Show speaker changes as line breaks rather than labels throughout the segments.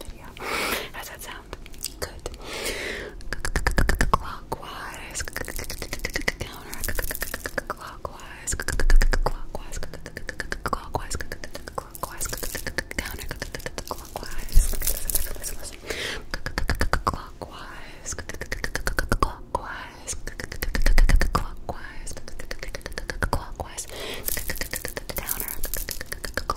video, video. that sound? Good. Clockwise. Counter. Clockwise. Clockwise. Clockwise. Clockwise. Counter. Clockwise. Listen, listen. Clockwise. Clockwise. Clockwise. Clockwise. Clockwise. Counter. Clockwise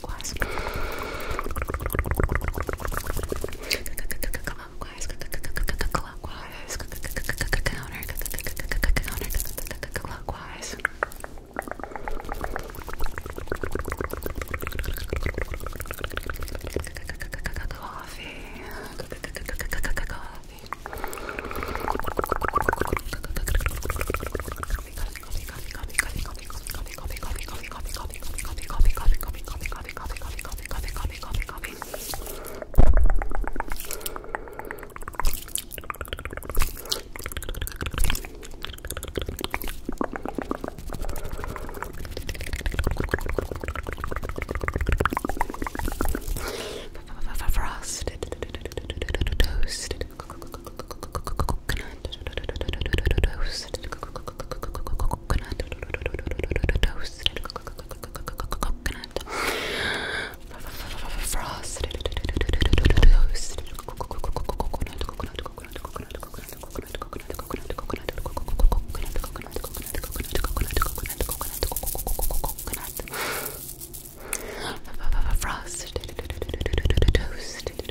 Cacahuas. Cacahuas. Clockwise, counter, counter, clockwise. Coffee, coffee. We got Frosted, toasted, coconut toasted coconut toasted coconut frosted toasted coconut coconut coconut coconut coconut coconut coconut coconut coconut coconut coconut coconut coconut coconut coconut coconut frosted toasted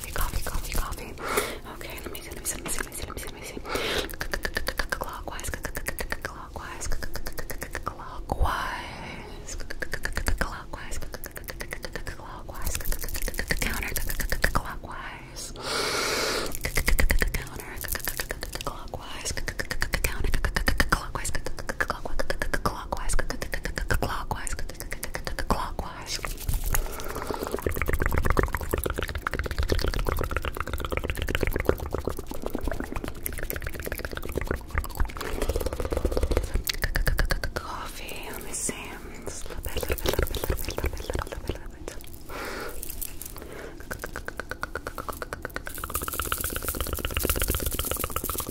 coffee, coffee, coffee, coffee. Okay, let me see, let me see, let me see, let me see, let me see. Clockwise, clockwise, clockwise, clockwise, clockwise, clockwise, counter, clockwise, counter, clockwise, counter, clockwise, clockwise, clockwise, clockwise clockwise. Coffee. Let me see. Just a little bit, little bit, little bit, little bit, little bit, little bit, little bit. Little bit.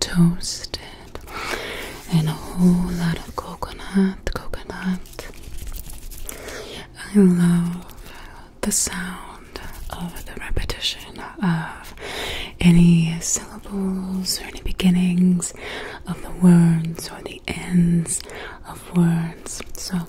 toasted and a whole lot of coconut, coconut. I love the sound of the repetition of any syllables or any beginnings of the words or the ends of words. So, for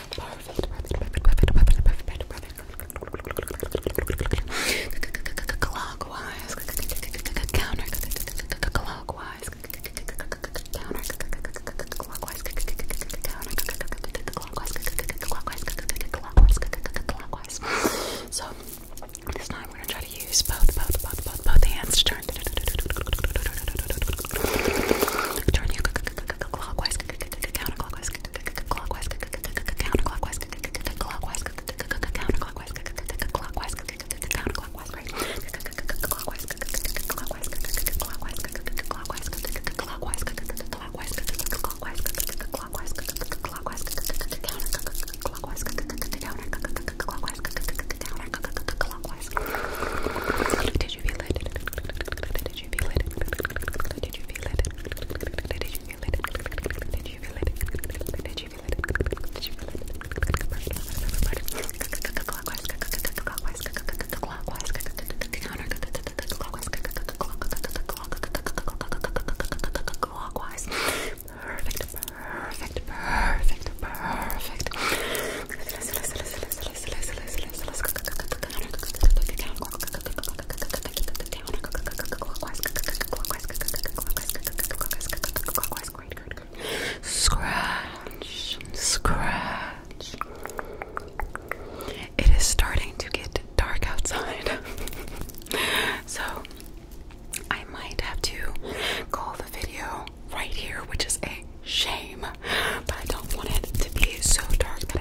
Perfect, perfect, perfect, perfect, perfect, perfect, perfect. Clockwise, counter, clockwise, counter, clockwise, counter, clockwise, clockwise, clockwise, clockwise. So this time we're gonna try to use both, both, both, both, both hands to turn. Turn you clockwise counterclockwise, clockwise, counterclockwise, clockwise, counterclockwise, clockwise, counterclockwise, right? Clockwise, clockwise, clockwise, clockwise, clockwise, clockwise, clockwise, clockwise, clockwise, counterclockwise, counterclockwise, counterclockwise. Did you feel it? Did did you feel it? Did you feel it? Did you feel it? Did you feel it? Did you feel it? Did you feel it? Clockwise, perfect, perfect, perfect, perfect. Scratch, scratch. It is starting to get dark outside, so I might have to call the video right here, which is a shame, but I don't want it to be so dark that